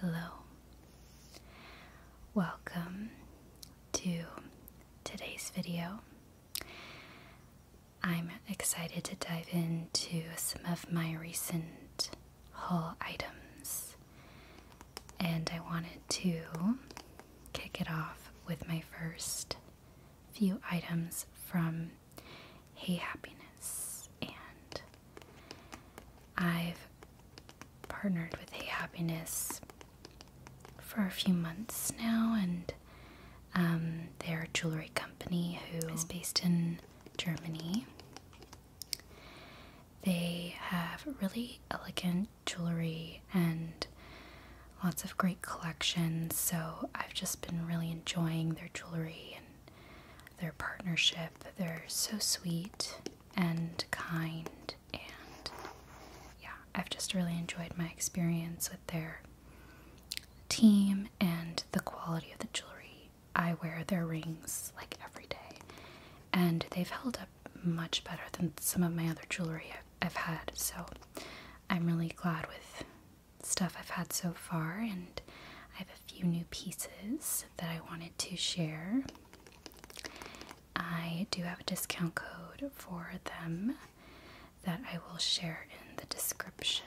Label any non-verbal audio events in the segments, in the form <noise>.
Hello. Welcome to today's video. I'm excited to dive into some of my recent haul items. And I wanted to kick it off with my first few items from Hey Happiness. And I've partnered with Hey Happiness for a few months now, and um, they're a jewelry company who is based in Germany. They have really elegant jewelry and lots of great collections, so I've just been really enjoying their jewelry and their partnership. They're so sweet and kind, and yeah, I've just really enjoyed my experience with their team and the quality of the jewelry I wear their rings like every day, and they've held up much better than some of my other jewelry I've, had. So I'm really glad with stuff I've had so far, and I have a few new pieces that I wanted to share. I do have a discount code for them that I will share in the description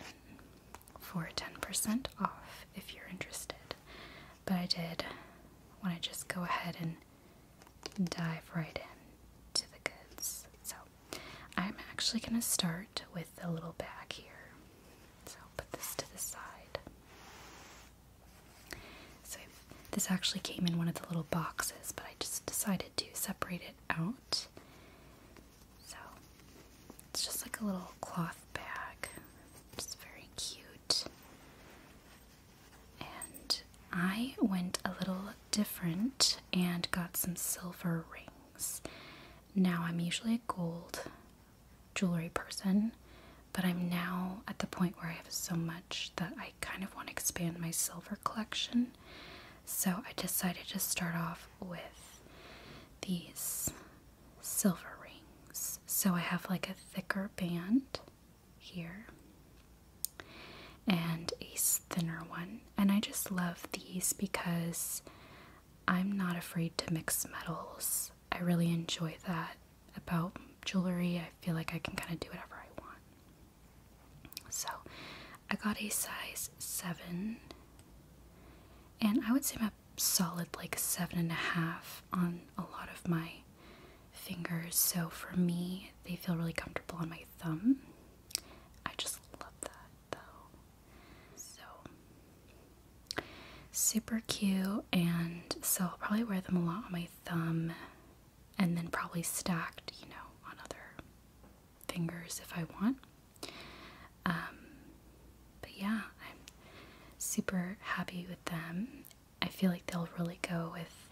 for 10% off if you're interested but I did want to just go ahead and dive right in to the goods. So I'm actually going to start with the little bag here. So I'll put this to the side. So this actually came in one of the little boxes, but I just decided to separate it out. So it's just like a little cloth bag. It's very cute. And I went a little different and got some silver rings. Now, I'm usually a gold jewelry person, but I'm now at the point where I have so much that I kind of want to expand my silver collection. So, I decided to start off with these silver rings. So I have like a thicker band here and a thinner one. And I just love these because I'm not afraid to mix metals. I really enjoy that about jewelry. I feel like I can kind of do whatever I want. So I got a size 7. And I would say my solid like seven and a half on a lot of my fingers so for me they feel really comfortable on my thumb i just love that though so super cute and so i'll probably wear them a lot on my thumb and then probably stacked you know on other fingers if i want um, but yeah, I'm super happy with them. I feel like they'll really go with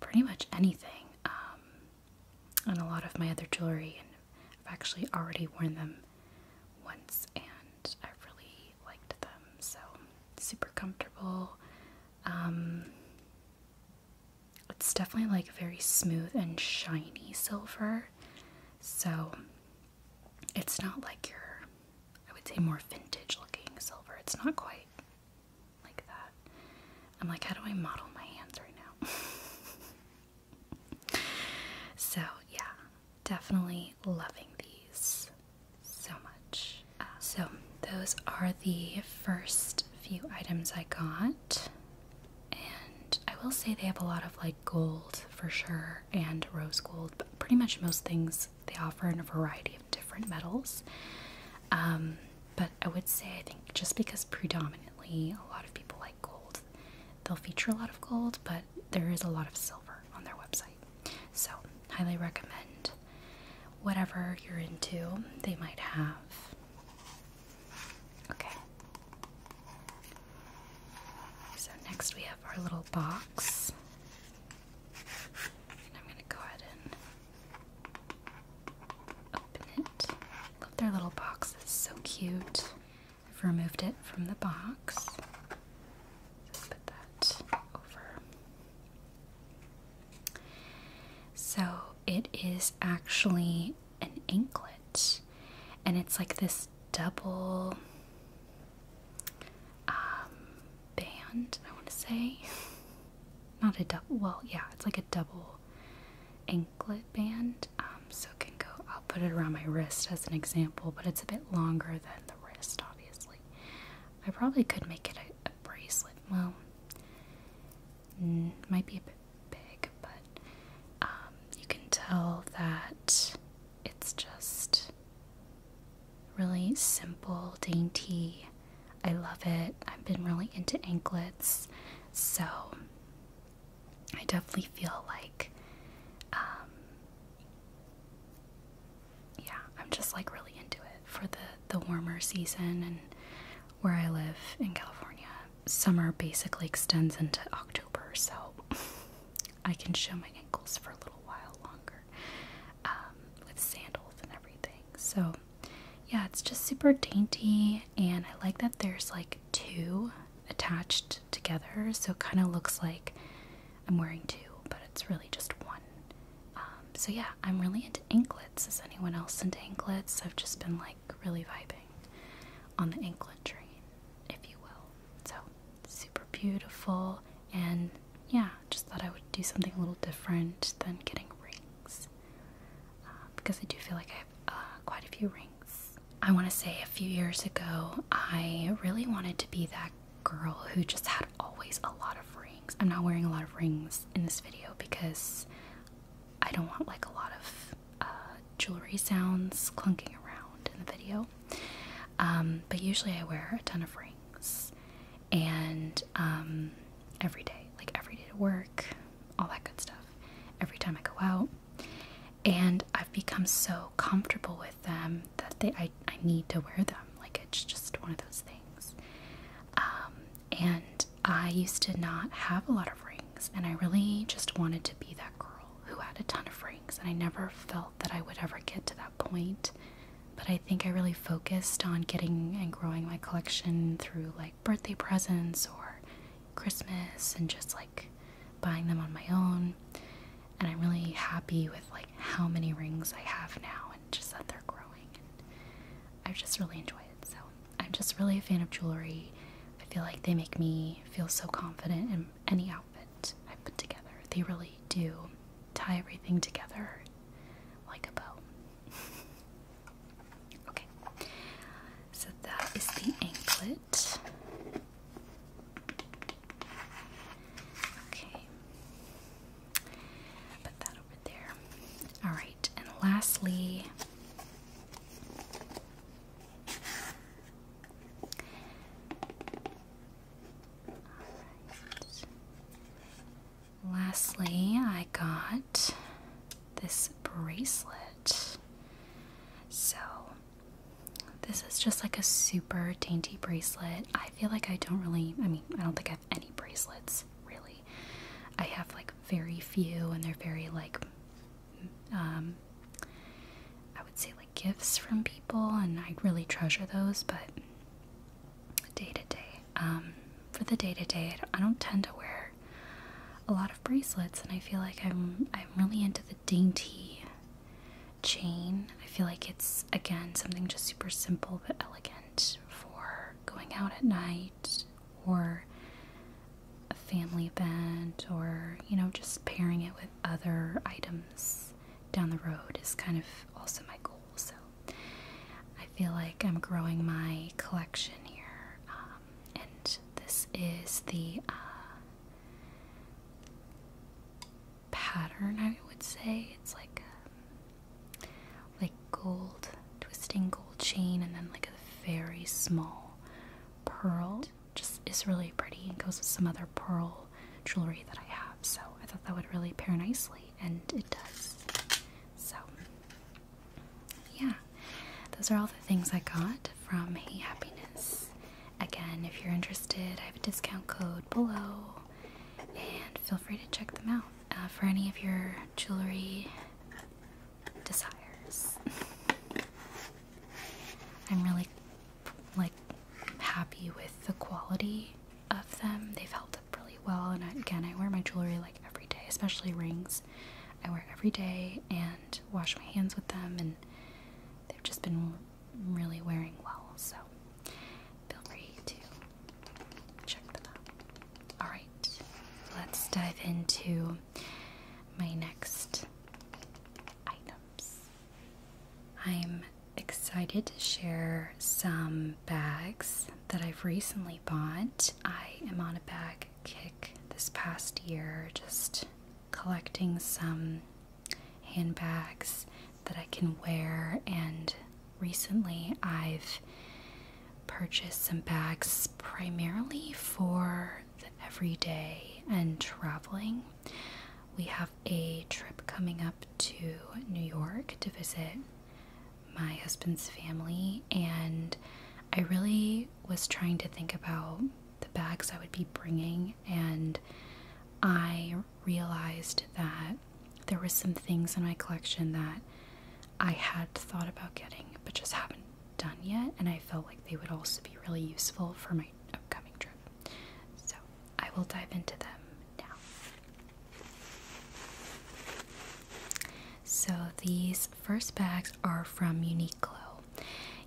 pretty much anything. Um, and a lot of my other jewelry, and I've actually already worn them once, and I really liked them. So super comfortable. Um, it's definitely like very smooth and shiny silver. So it's not like your, I would say, more vintage looking silver. It's not quite like that. I'm like, how do I model my hands right now? <laughs> so, yeah, definitely loving these so much. Uh, so, those are the first few items I got. And I will say they have a lot of like gold for sure and rose gold, but pretty much most things they offer in a variety of different metals. Um, but I would say, I think just because predominantly a lot of people like gold, they'll feature a lot of gold, but there is a lot of silver on their website. So, highly recommend whatever you're into, they might have. Okay. So next we have our little box. And I'm going to go ahead and open it. Love their little box. so cute. I've removed it from the box. Just put that over. So it is actually an anklet. And it's like this double um, band, I want to say. <laughs> Not a double, well, yeah, it's like a double anklet band, um, so it can go, I'll put it around my wrist as an example, but it's a bit longer than the wrist, obviously. I probably could make it a, bracelet, well, mm, might be a bit big, but um, you can tell that it's just Really simple, dainty. I love it. I've been really into anklets, so I definitely feel like, um, yeah, I'm just like really into it for the the warmer season and where I live in California. Summer basically extends into October, so <laughs> I can show my ankles for a little while longer um, with sandals and everything. So, yeah, it's just super dainty, and I like that there's like two attached together, so it kind of looks like I'm wearing two, but it's really just one. Um, so, yeah, I'm really into anklets. Is anyone else into anklets? I've just been like really vibing on the anklet train, if you will. So, super beautiful, and yeah, just thought I would do something a little different than getting rings uh, because I do feel like I have uh, quite a few rings. I want to say a few years ago, I really wanted to be that girl who just had always a lot of rings. I'm not wearing a lot of rings in this video because I don't want like a lot of uh, jewelry sounds clunking around in the video. Um, but usually I wear a ton of rings and um, every day, like every day to work, all that good stuff, every time I go out. And I've become so comfortable with them that I, I need to wear them. Like it's just one of those things. Um, and I used to not have a lot of rings, and I really just wanted to be that girl who had a ton of rings, and I never felt that I would ever get to that point. But I think I really focused on getting and growing my collection through like birthday presents or Christmas and just like buying them on my own. And I'm really happy with like how many rings I have now and just that they're growing. And i just really enjoy it. So I'm just really a fan of jewelry. I feel like they make me feel so confident in any outfit I put together. They really do tie everything together like a bow. <laughs> okay, so that is the anklet. Okay, put that over there. Alright, and lastly. Lastly, I got this bracelet. So, this is just like a super dainty bracelet. I feel like I don't really, I mean, I don't think I have any bracelets really. I have like very few, and they're very like, um, I would say like gifts from people, and I really treasure those. But day to day, for the day to day, I don't, I don't tend to wear a lot of bracelets, and I feel like I'm I'm really into the dainty chain. I feel like it's again something just super simple but elegant for going out at night or a family event or you know just pairing it with other items down the road is kind of also my goal. So I feel like I'm growing my collection here. Um, and this is the uh, pattern, I would say. It's like um, like gold, twisting gold chain, and then like a very small pearl just is really pretty and goes with some other pearl jewelry that I have. So I thought that would really pair nicely, and it does. So, yeah, those are all the things I got from Hey Happiness. Again, if you're interested, I have a discount code below, and feel free to check them out uh, for any of your jewelry desires. <laughs> I'm really like happy with the quality of them. They've held up really well, and again, I wear my jewelry like every day, especially rings. I wear every day and wash my hands with them, and they've just been really wearing well. So feel free to check them out. All right, let's dive into my next items. I'm excited to share some bags that I've recently bought. I am on a bag kick this past year, just collecting some handbags that I can wear, and recently I've purchased some bags primarily for the everyday and traveling we have a trip coming up to New York to visit my husband's family, and I really was trying to think about the bags I would be bringing, and I realized that there were some things in my collection that I had thought about getting but just haven't done yet, and I felt like they would also be really useful for my upcoming trip. So I will dive into them now. So these first bags are from Unique Glow.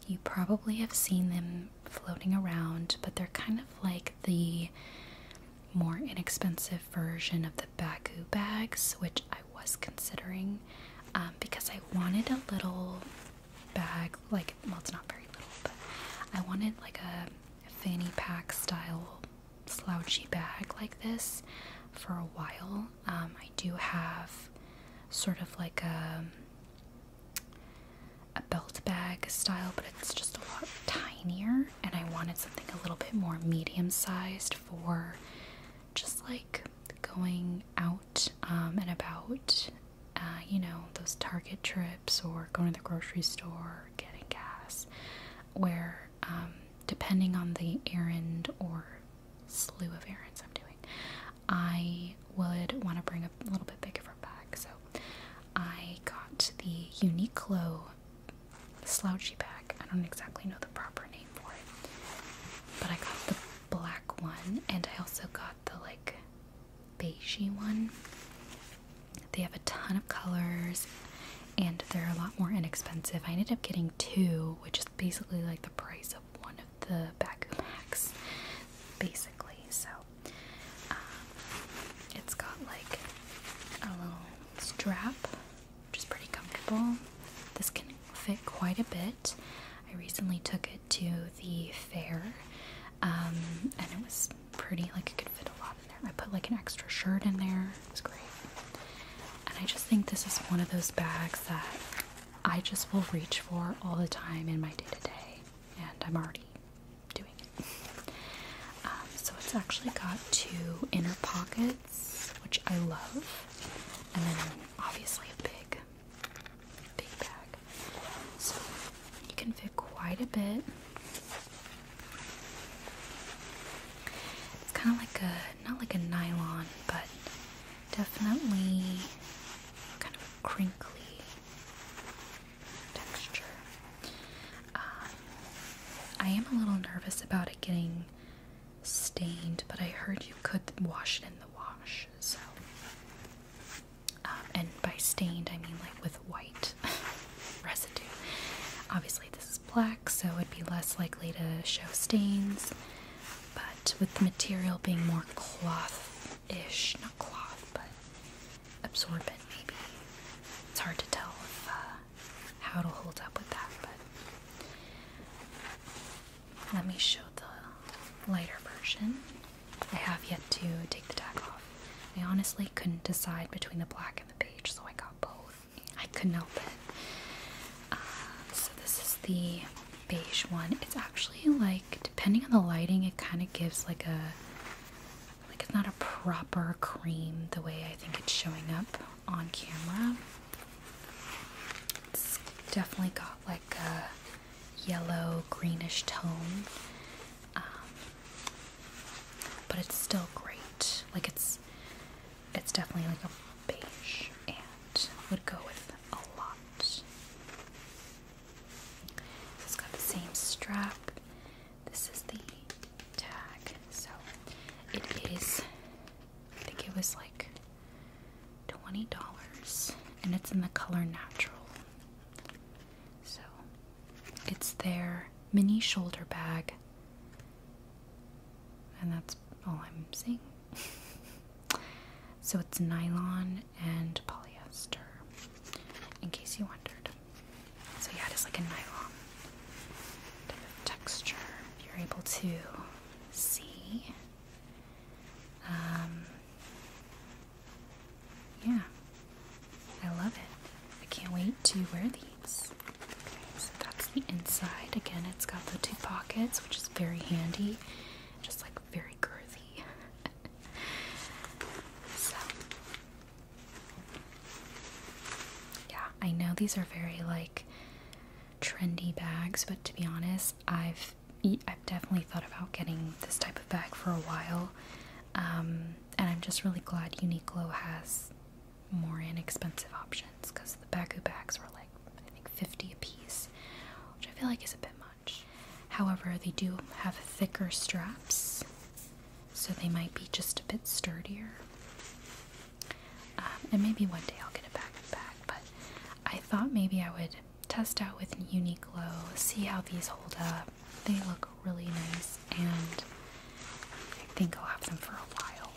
You probably have seen them floating around, but they're kind of like the more inexpensive version of the Bagu bags, which I was considering um, because I wanted a little bag, like, well, it's not very little, but I wanted like a fanny pack style slouchy bag like this for a while. Um, I do have sort of like a, a belt bag style, but it's just a lot tinier, and I wanted something a little bit more medium sized for just like going out um, and about, uh, you know, those Target trips or going to the grocery store, getting gas, where um, depending on the errand or slew of errands I'm doing, I would want to bring a little bit bigger bag. So I got the Uniqlo slouchy bag. I don't exactly know the proper name for it, but I got the black one, and I also got the like beigey one. They have a ton of colors and they're a lot more inexpensive. I ended up getting two, which is basically like the price of one of the Baku packs, basically. So um, it's got like a little strap, which is pretty comfortable. This can fit quite a bit. I recently took it to the fair, um, and it was pretty. Like, it could fit a lot in there. I put like an extra shirt in there. It was great. And I just think this is one of those bags that I just will reach for all the time in my day to day, and I'm already doing it. Um, so it's actually got two inner pockets, which I love, and then obviously a big big bag. So you can fit quite a bit. It's kind of like a, not like a nylon, but definitely kind of crinkly texture. Um, I am a little nervous about it getting stained, but I heard you could wash it in the wash, so um, and by stained, I mean like with white <laughs> residue. Obviously, this is black, so it would be less likely to show stains. But with the material being more cloth ish, not cloth, but absorbent, maybe. It's hard to tell uh, how it'll hold up with that, but let me show the lighter version. I have yet to take the tag off. I honestly couldn't decide between the black and the beige, so I got both. I couldn't help it. Uh, so this is the beige one. It's actually like, depending on the lighting, it kind of gives like a like it's not a proper cream the way I think it's showing up on camera. It's definitely got like a yellow greenish tone, um, but it's still great. Like it's it's definitely like a beige and would go with a lot. it's got the same strap. This is the tag, so it is. I think it was like twenty dollars, and it's in the color natural. So it's their mini shoulder bag. And that's all I'm seeing. <laughs> so it's nylon and polyester, in case you wondered. So yeah, it is like a nylon texture. you're able to see um, yeah, I love it. I can't wait to wear these. so that's the inside. Again, it's got the two pockets, which is very handy, just like very girthy. <laughs> so, yeah, I know these are very like trendy bags, but to be honest, I've I've definitely thought about getting this type of bag for a while, um, and I'm just really glad Uniqlo has more inexpensive options because the Baku bags were like I think 50 a piece, which I feel like is a bit much. However, they do have thicker straps, so they might be just a bit sturdier. Um, and maybe one day I'll get a back bag, but I thought maybe I would test out with Uniqlo, see how these hold up. They look really nice, and I think I'll have them for a while.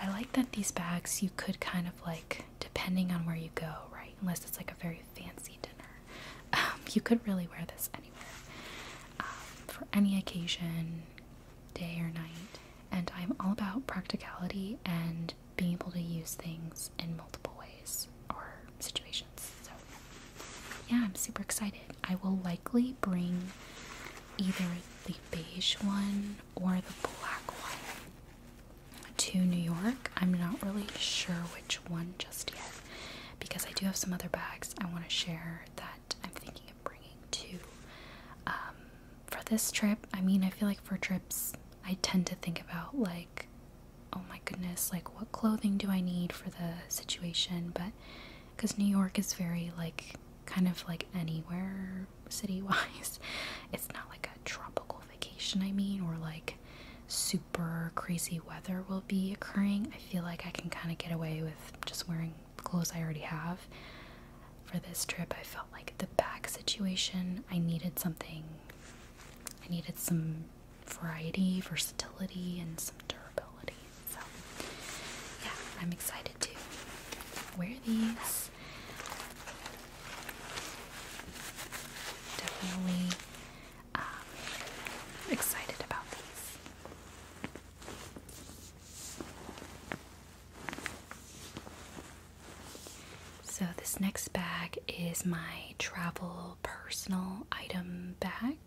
I like that these bags you could kind of like, depending on where you go, right? Unless it's like a very fancy dinner, um, you could really wear this anywhere um, for any occasion, day or night. And I'm all about practicality and being able to use things in multiple ways or situations. So, yeah, I'm super excited. I will likely bring either the beige one or the black one to New York. I'm not really sure which one just yet because I do have some other bags I want to share that I'm thinking of bringing too. Um, for this trip, I mean, I feel like for trips, I tend to think about like oh my goodness, like what clothing do I need for the situation? But because New York is very, like, kind of like anywhere city wise, <laughs> it's not like a tropical vacation, I mean, or like super crazy weather will be occurring. I feel like I can kind of get away with just wearing clothes I already have. For this trip, I felt like the bag situation, I needed something I needed some variety, versatility, and some durability. So, yeah, I'm excited to wear these. Definitely um, excited about these. So, this next bag is my travel personal item bag.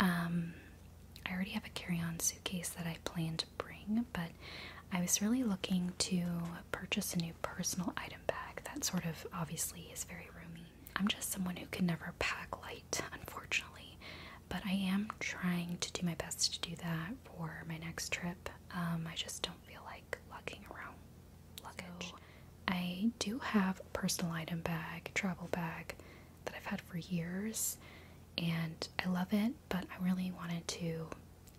Um, I already have a carry on suitcase that I plan to bring, but I was really looking to purchase a new personal item bag that sort of obviously is very roomy. I'm just someone who can never pack light, unfortunately, but I am trying to do my best to do that for my next trip. Um, I just don't feel like lugging around I do have a personal item bag, travel bag that I've had for years and I love it, but I really wanted to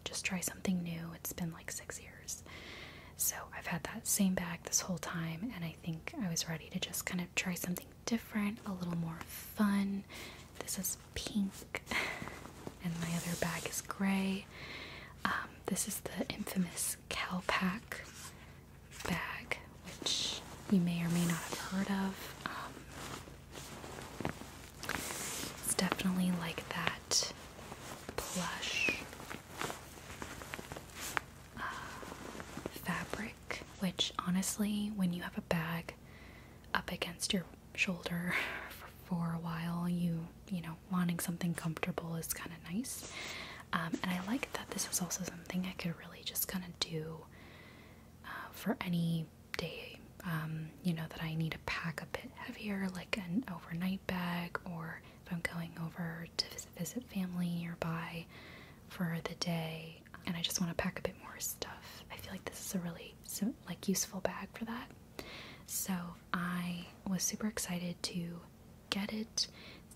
just try something new. It's been like six years. So I've had that same bag this whole time, and I think I was ready to just kind of try something different, a little more fun. This is pink, <laughs> and my other bag is gray. Um, this is the infamous CalPAC bag, which you may or may not have heard of. Um, it's definitely like that plush uh, fabric, which honestly, when you have a bag up against your shoulder <laughs> for a while, you you know wanting something comfortable is kind of nice. Um, and I like that this was also something I could really just kind of do uh, for any day, um, you know, that I need to pack a bit heavier, like an overnight bag, or if I'm going over to visit, visit family nearby for the day and I just want to pack a bit more stuff. I feel like this is a really like useful bag for that. So I was super excited to get it. It's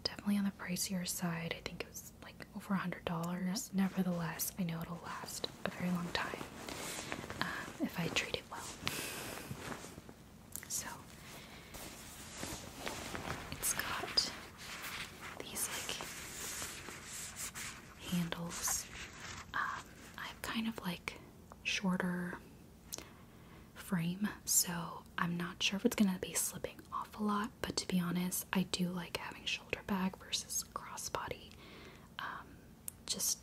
definitely on the pricier side. I think it was like over a hundred dollars. Nevertheless, I know it'll last a very long time uh, if I treat it well. So it's got these like handles. Um, I have kind of like shorter frame, so I'm not sure if it's gonna be slipping off a lot. But to be honest, I do like having shoulder bag versus crossbody. Um, just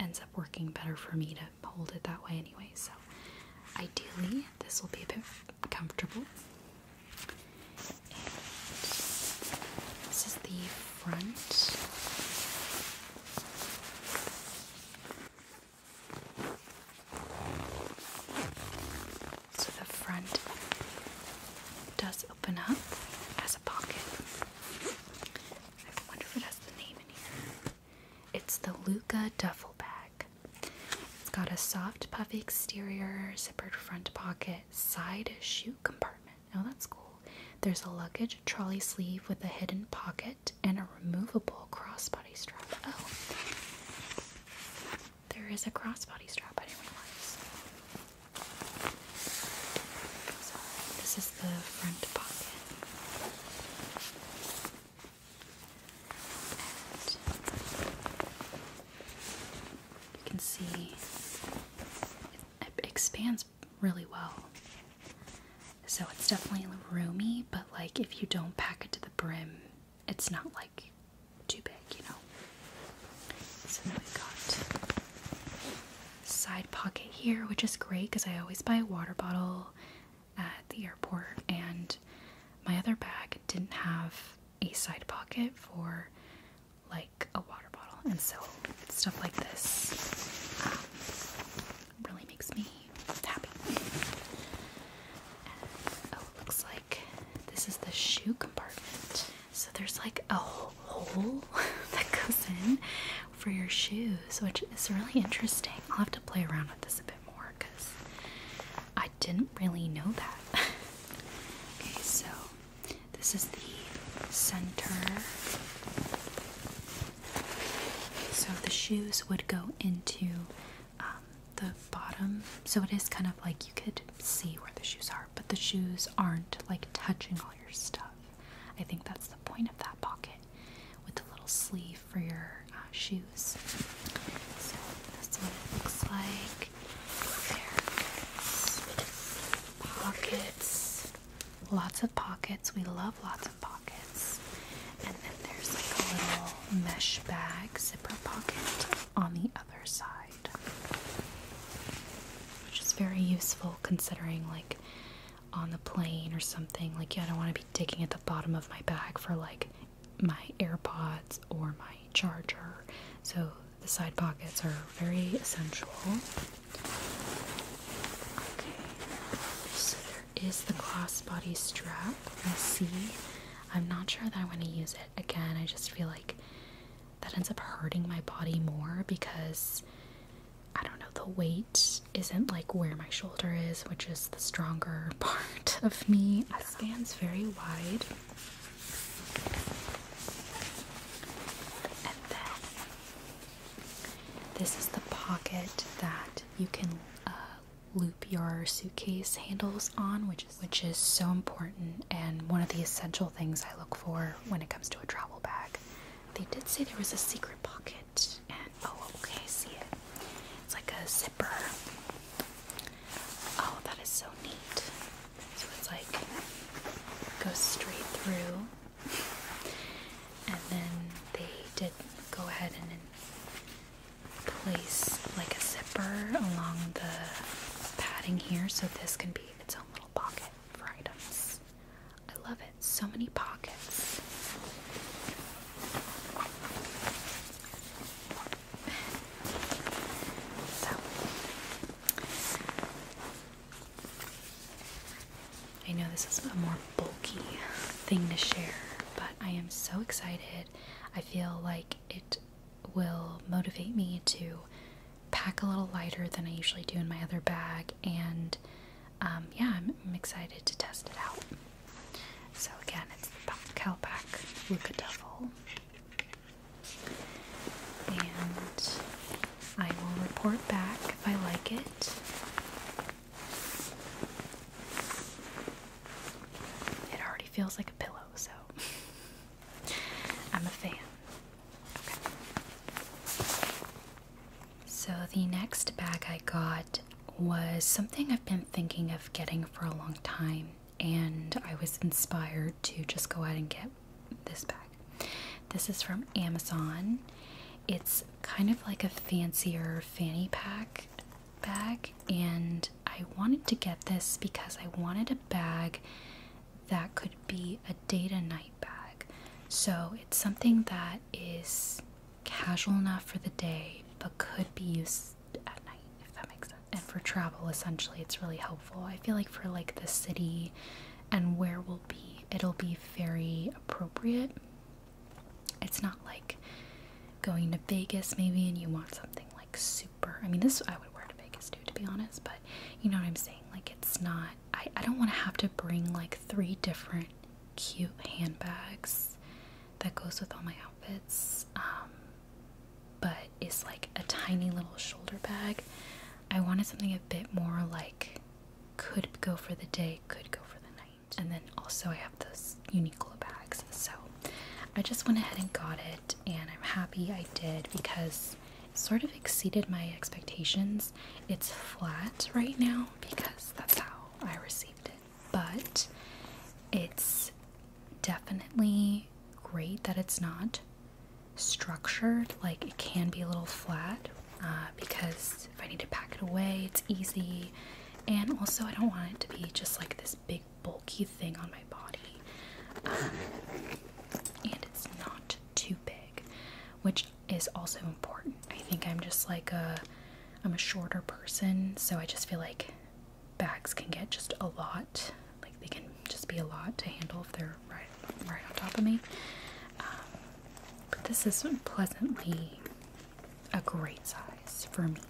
ends up working better for me to hold it that way anyway. So ideally, this will be a bit comfortable. this is the front. So the front does open up as a pocket. I wonder if it has the name in here. It's the Luca duffel bag. It's got a soft, puffy exterior, zippered front pocket, side shoe compartment. Oh, that's cool. There's a luggage trolley sleeve with a hidden pocket and a removable crossbody strap. Oh, there is a crossbody strap. I didn't realize. So this is the front pocket. you can see it expands really well. So it's definitely roomy, but like if you don't pack it to the brim, it's not like too big, you know. So then we've got side pocket here, which is great because I always buy a water bottle at the airport, and my other bag didn't have a side pocket for like a water bottle, and so stuff like this um, really makes me happy. oh, looks like this is the shoe compartment. So there's like a hole <laughs> that goes in for your shoes, which is really interesting. I'll have to play around with this a bit more because I didn't really know that. <laughs> okay, so this is the center so the shoes would go into um, the bottom. So it is kind of like you could see where the shoes are, but the shoes aren't like touching all your stuff. I think that's the point of that pocket with the little sleeve for your uh, shoes. So that's what it looks like. pockets. Lots of pockets. We love lots of pockets. And then there's like a little mesh bag zipper pocket on the other side. Which is very useful considering like on the plane or something, like yeah, I don't want to be digging at the bottom of my bag for like my AirPods or my charger. So the side pockets are very essential. Okay, so there is the crossbody strap. I see. I'm not sure that I want to use it again. I just feel like that ends up hurting my body more because I don't know, the weight isn't like where my shoulder is, which is the stronger <laughs> part of me. It spans very wide. This is the pocket that you can uh, loop your suitcase handles on, which is which is so important and one of the essential things I look for when it comes to a travel bag. They did say there was a secret pocket, and oh, okay, see it. It's like a zipper. Oh, that is so neat. So it's like goes straight through. And then they did go ahead and place like a zipper along the padding here so this can be its own little pocket for items. I love it. So many pockets. So I know this is a more bulky thing to share, but I am so excited. I feel like it will motivate me to pack a little lighter than I usually do in my other bag, and um, yeah, I'm, excited to test it out. So, again, it's the Calpac Luca Double, and I will report back if I like it. It already feels like a pillow, so I'm a fan. So the next bag I got was something I've been thinking of getting for a long time, and I was inspired to just go out and get this bag. This is from Amazon. It's kind of like a fancier fanny pack bag, and I wanted to get this because I wanted a bag that could be a day to night bag. So it's something that is casual enough for the day but could be used at night if that makes sense. And for travel essentially it's really helpful. I feel like for like the city and where we'll be, it'll be very appropriate. It's not like going to Vegas maybe and you want something like super. I mean, this I would wear to Vegas too, to be honest, but you know what I'm saying? Like, it's not. I, I don't want to have to bring like three different cute handbags that goes with all my outfits. Um, but it's like a tiny little shoulder bag. I wanted something a bit more like could go for the day, could go for the night. And then also I have those Uniqlo bags. So I just went ahead and got it and I'm happy I did because it sort of exceeded my expectations. It's flat right now because that's how I received it. But it's definitely great that it's not structured. Like it can be a little flat, uh, because if I need to pack it away, it's easy. And also, I don't want it to be just like this big bulky thing on my body. Um, and it's not too big, which is also important. I think I'm just like a I'm a shorter person, so I just feel like bags can get just a lot. Like they can just be a lot to handle if they're right right on top of me. Um, but this is pleasantly a great size for me.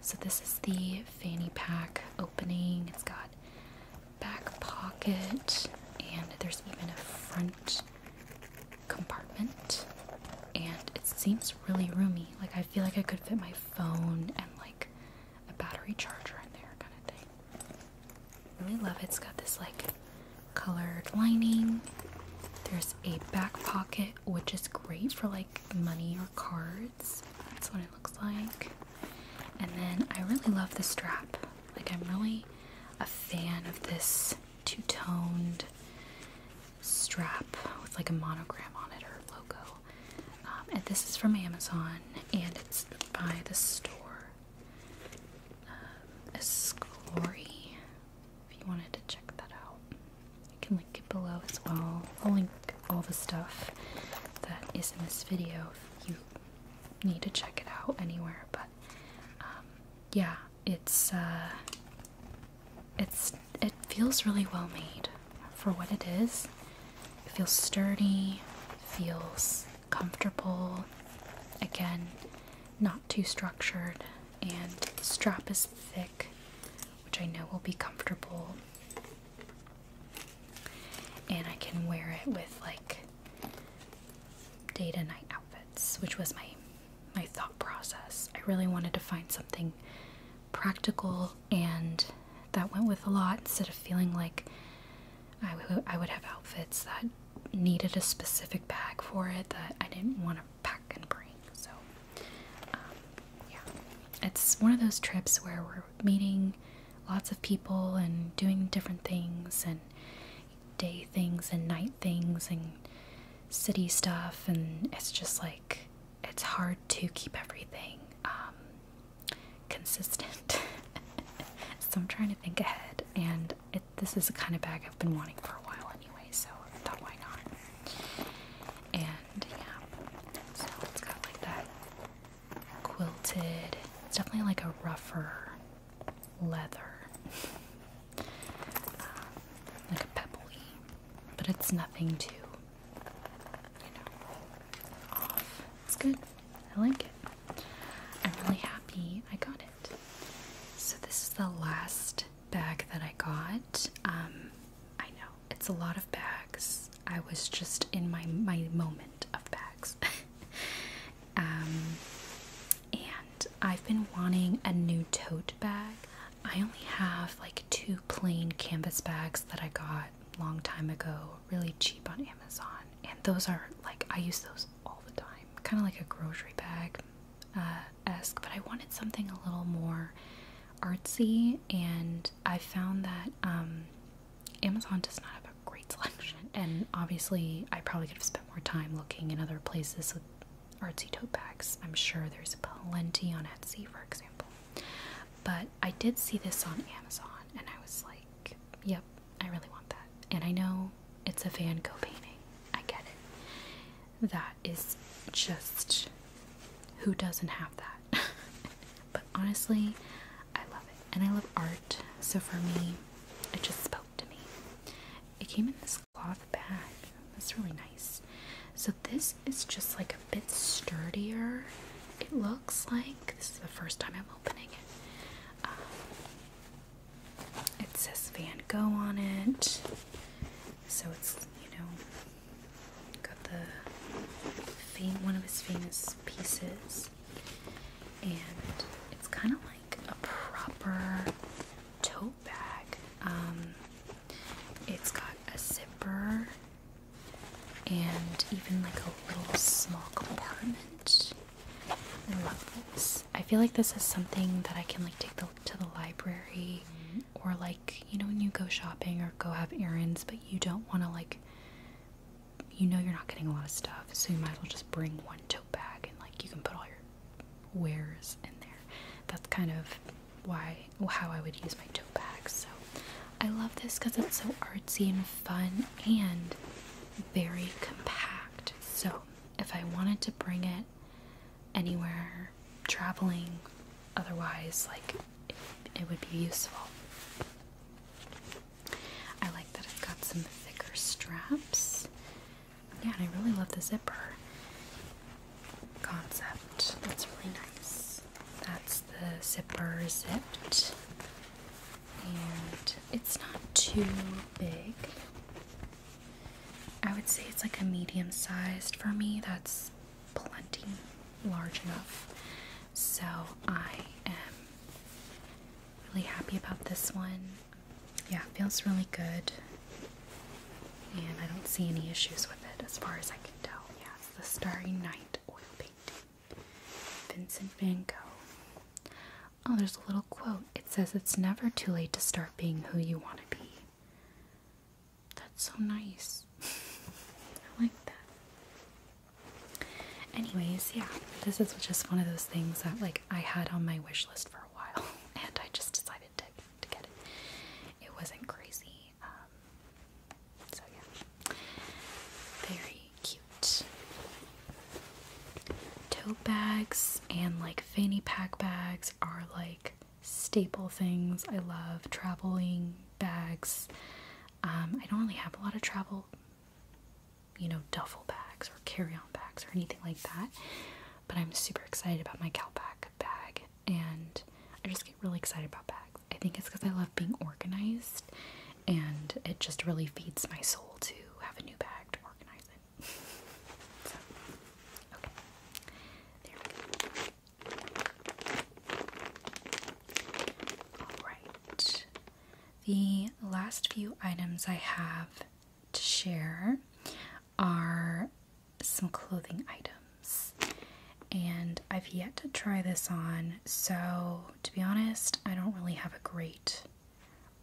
So this is the fanny pack opening. It's got back pocket and there's even a front compartment and it seems really roomy. Like I feel like I could fit my phone and like a battery charger in there kind of thing. Really love it. It's got this like colored lining. There's a back pocket, which is great for like money or cards. That's what it looks like. And then I really love the strap. Like, I'm really a fan of this two toned strap with like a monogram on it or logo. Um, and this is from Amazon and it's by the store. Um, if you wanted to check that out. You can link it below as well. I'll link all the stuff that is in this video if you need to check it out anywhere. But um, yeah, it's uh, it's it feels really well made for what it is. It feels sturdy, feels comfortable. Again, not too structured, and the strap is thick, which I know will be comfortable. And I can wear it with like day to night outfits, which was my my thought process. I really wanted to find something practical and that went with a lot instead of feeling like I, I would have outfits that needed a specific bag for it that I didn't want to pack and bring. So, um, yeah. It's one of those trips where we're meeting lots of people and doing different things and day things and night things and city stuff, and it's just like it's hard to keep everything um, consistent. <laughs> so, I'm trying to think ahead and this is the kind of bag I've been wanting for a while anyway, so I thought why not? And yeah, so it's got like that quilted, it's definitely like a rougher leather, <laughs> um, like a pebbly, but it's nothing too, you know, off. It's good. I like it. I'm really happy I got it. So this is the last bag that I got. Um, I know it's a lot of bags. I was just in my my moment of bags. <laughs> Um, and I've been wanting a new tote bag. I only have like two plain canvas bags that I got a long time ago, really cheap on Amazon. And those are like I use those all the time, kind of like a grocery bag uh, esque, but I wanted something a little more artsy, and I found that um, Amazon does not have a great <laughs> selection. And obviously, I probably could have spent more time looking in other places with artsy tote bags. I'm sure there's plenty on Etsy, for example. But I did see this on Amazon, and I was like, yep, I really want that. And I know it's a Van Gogh painting. I get it. That is just who doesn't have that? <laughs> but honestly, I love it. And I love art. So for me, it just spoke to me. It came in this cloth bag. That's really nice. So this is just like a bit sturdier. It looks like this is the first time I'm opening it. Um, it says Van Gogh on it. So it's, you know, got the one of his famous pieces. And it's kind of like a proper tote bag. Um, it's got a zipper and even like a little small compartment. I love this. I feel like this is something that I can like take to the library mm-hmm. or like, you know, when you go shopping or go have errands, but you don't want to like, you know, you're not getting a lot of stuff. So you might as well just bring one tote bag and like you can put all your wares in there. That's kind of why, how I would use my tote bag. So I love this because it's so artsy and fun and very compact. So if I wanted to bring it anywhere, traveling, otherwise, like it, would be useful. I like that it's got some thicker straps. Yeah, and I really love the zipper concept. That's really nice. That's the zipper zipped. And it's not too big. I would say it's like a medium sized for me. That's plenty large enough. So I am really happy about this one. Yeah, feels really good. And I don't see any issues with it as far as I can tell. Yeah, it's the Starry Night oil painting. Vincent van Gogh. Oh, there's a little quote. It says, It's never too late to start being who you want to be. That's so nice. <laughs> I like that. Anyways, yeah, this is just one of those things that, like, I had on my wish list for a while, <laughs> and I just decided to, to get it. It wasn't crazy. Um, so, yeah. Very cute. Tote bags and like fanny pack bags are like staple things. I love traveling bags. Um, I don't really have a lot of travel, you know, duffel bags or carry on bags or anything like that, but I'm super excited about my Calpac bag and I just get really excited about bags. I think it's because I love being organized and it just really feeds my soul to have a new bag to organize it. Alright. The last few items I have to share are some clothing items. And I've yet to try this on, so to be honest, I don't really have a great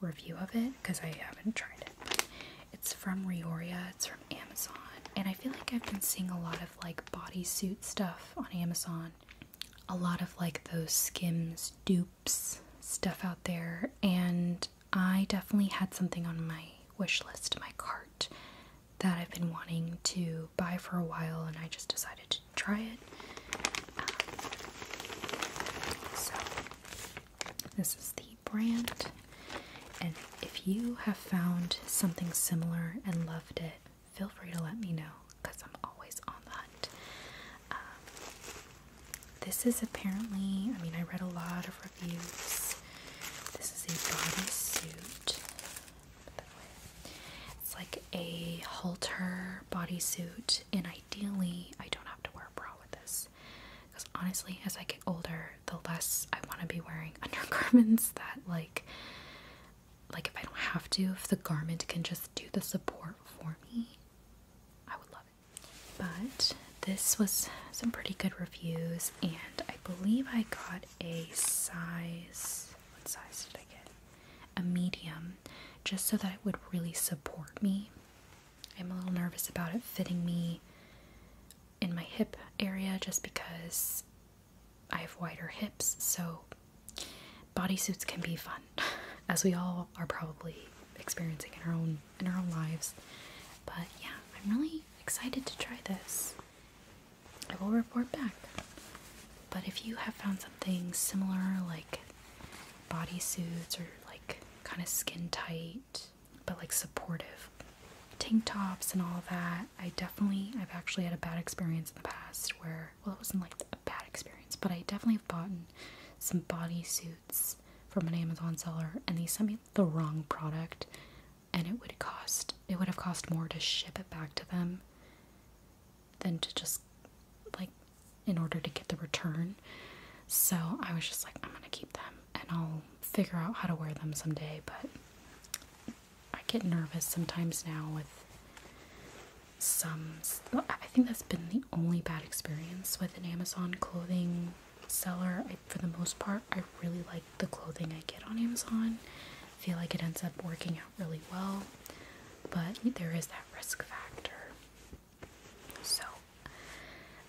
review of it because I haven't tried it. But it's from Rioria, it's from Amazon, and I feel like I've been seeing a lot of like bodysuit stuff on Amazon, a lot of like those skims dupes stuff out there, and I definitely had something on my wish list, my cart, that I've been wanting to buy for a while, and I just decided to try it. Um, so this is the brand. And if you have found something similar and loved it, feel free to let me know because I'm always on the hunt. Um, this is apparently, I mean, I read a lot of reviews. This is a bodysuit. It's like a halter bodysuit, and I ideally, I don't have to wear a bra with this because honestly, as I get older, the less I want to be wearing <laughs> undergarments that like like if I don't have to, if the garment can just do the support for me, I would love it. But this was some pretty good reviews and I believe I got a size what size did I get? A medium just so that it would really support me I'm a little nervous about it fitting me in my hip area just because I have wider hips, so bodysuits can be fun, <laughs> as we all are probably experiencing in our own in our own lives. But yeah, I'm really excited to try this. I will report back. But if you have found something similar, like bodysuits or like kind of skin tight but like supportive tank tops and all that. I definitely, I've actually had a bad experience in the past where, well, it wasn't like a bad experience, but I definitely have bought some bodysuits from an Amazon seller and they sent me the wrong product and it would cost, it would have cost more to ship it back to them than to just like in order to get the return. So I was just like, I'm gonna keep them and I'll figure out how to wear them someday. But I get nervous sometimes now with some. I think that's been the only bad experience with an Amazon clothing seller. I, for the most part, I really like the clothing I get on Amazon. I feel like it ends up working out really well, but there is that risk factor. So,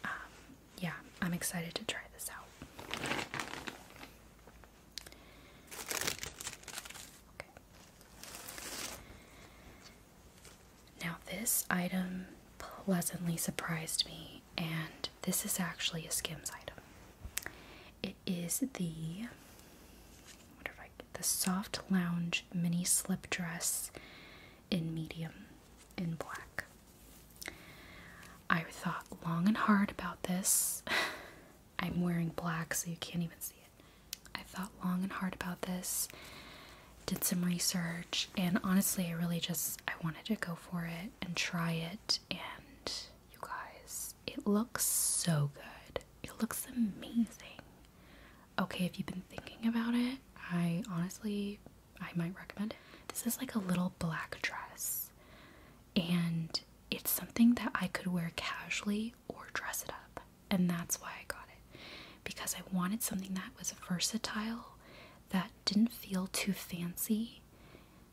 um, yeah, I'm excited to try this out. Now, this item pleasantly surprised me, and this is actually a Skims item. It is the wonder if I, the soft lounge mini slip dress in medium in black. I thought long and hard about this. <laughs> I'm wearing black so you can't even see it. I thought long and hard about this, did some research, and honestly, I really just I wanted to go for it and try it and you guys, it looks so good. It looks amazing okay if you've been thinking about it. I honestly, I might recommend it. This is like a little black dress, and it's something that I could wear casually or dress it up, and that's why I got it because I wanted something that was versatile, that didn't feel too fancy,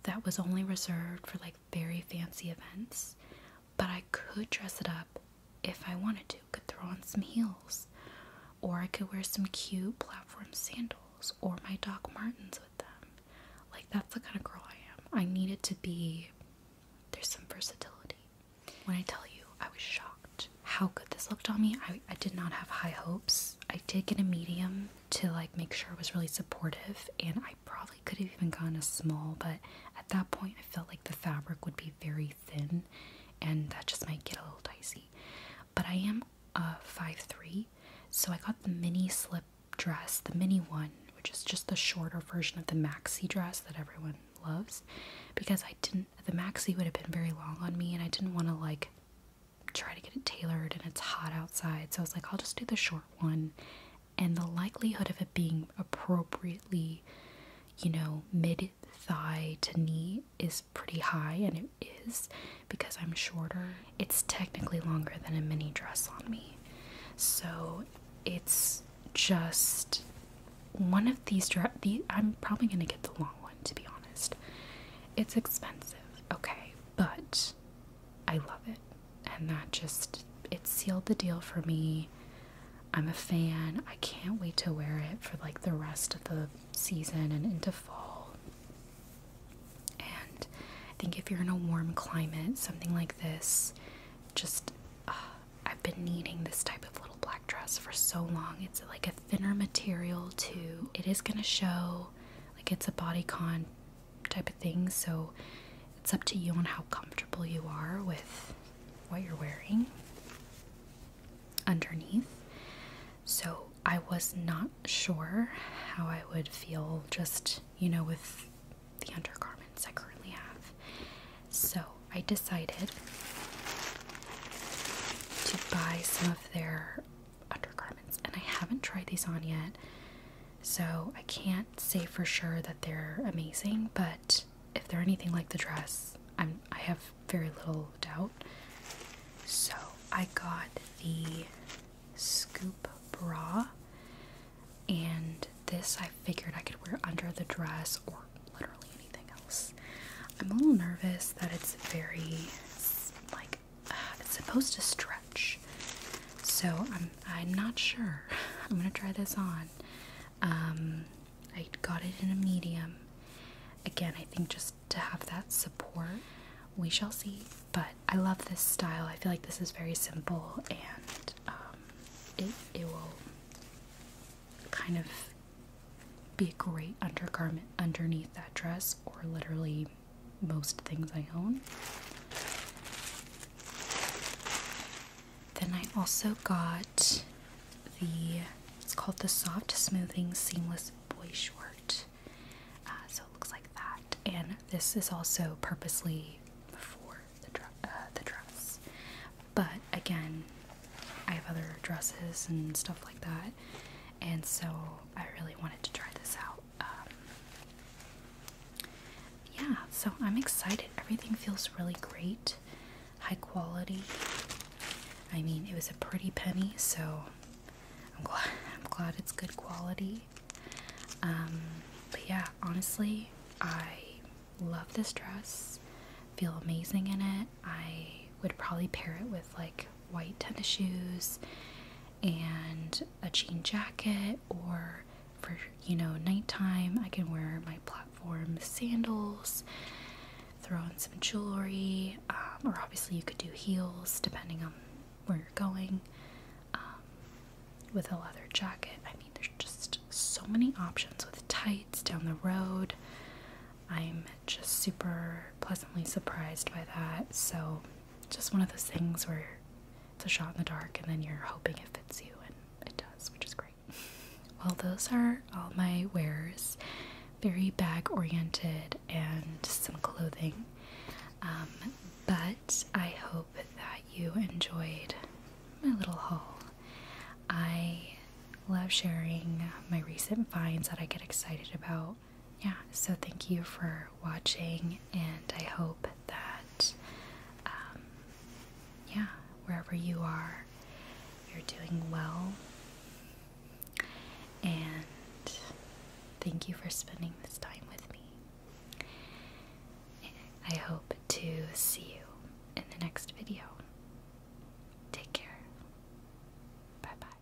that was only reserved for like very fancy events, but I could dress it up if I wanted to, could throw on some heels or I could wear some cute platform sandals or my Doc Martens with them. Like, that's the kind of girl I am. I need it to be, there's some versatility. When I tell you, I was shocked how good this looked on me. I, did not have high hopes. I did get a medium to like make sure it was really supportive, and I probably could have even gotten a small, but at that point, I felt like the fabric would be very thin and that just might get a little dicey. But I am five three, so I got the mini slip dress, the mini one, which is just the shorter version of the maxi dress that everyone loves because I didn't, the maxi would have been very long on me and I didn't want to like try to get it tailored and it's hot outside. So I was like, I'll just do the short one. And the likelihood of it being appropriately, you know, mid thigh to knee is pretty high, and it is because I'm shorter. It's technically longer than a mini dress on me. So it's just one of these dre I'm probably going to get the long one to be honest. It's expensive. Okay, but I love it. And that just it sealed the deal for me. I'm a fan. I can't wait to wear it for like the rest of the season and into fall. And I think if you're in a warm climate, something like this just uh, I've been needing this type of little black dress for so long. It's like a thinner material too. It is going to show like it's a body con type of thing, so it's up to you on how comfortable you are with what you're wearing underneath. So I was not sure how I would feel just, you know, with the undergarments I currently have. So I decided to buy some of their undergarments, and I haven't tried these on yet. So I can't say for sure that they're amazing, but if they're anything like the dress, I'm I have very little doubt. So I got the scoop bra, and this I figured I could wear under the dress or literally anything else. I'm a little nervous that it's very like uh, it's supposed to stretch, so I'm I'm not sure. <laughs> I'm gonna try this on. Um, I got it in a medium. Again, I think just to have that support, we shall see. But I love this style. I feel like this is very simple and um, it, it will kind of be a great undergarment underneath that dress or literally most things I own. Then I also got the it's called the soft smoothing seamless boy short uh, so it looks like that and this is also purposely for uh, the, dress but again I have other dresses and stuff like that and so I really wanted to try this out um, yeah so I'm excited everything feels really great high quality. I mean, it was a pretty penny, so I'm glad, <laughs> I'm glad it's good quality. Um, but yeah, honestly, I love this dress. Feel amazing in it. I would probably pair it with like white tennis shoes and a jean jacket, or for you know, nighttime, I can wear my platform sandals throw in some jewelry, um, or obviously you could do heels depending on where you're going. Um, with a leather jacket, I mean, there's just so many options with tights down the road. I'm just super pleasantly surprised by that. So, just one of those things where it's a shot in the dark and then you're hoping it fits you, and it does, which is great. Well, those are all my wares very bag oriented and some clothing. Um, but I hope that you enjoyed my little haul. I love sharing my recent finds that I get excited about. Yeah, so thank you for watching, and I hope that, um, yeah, wherever you are, you're doing well. And thank you for spending this time with me. I hope to see you in the next video. Take care. Bye bye.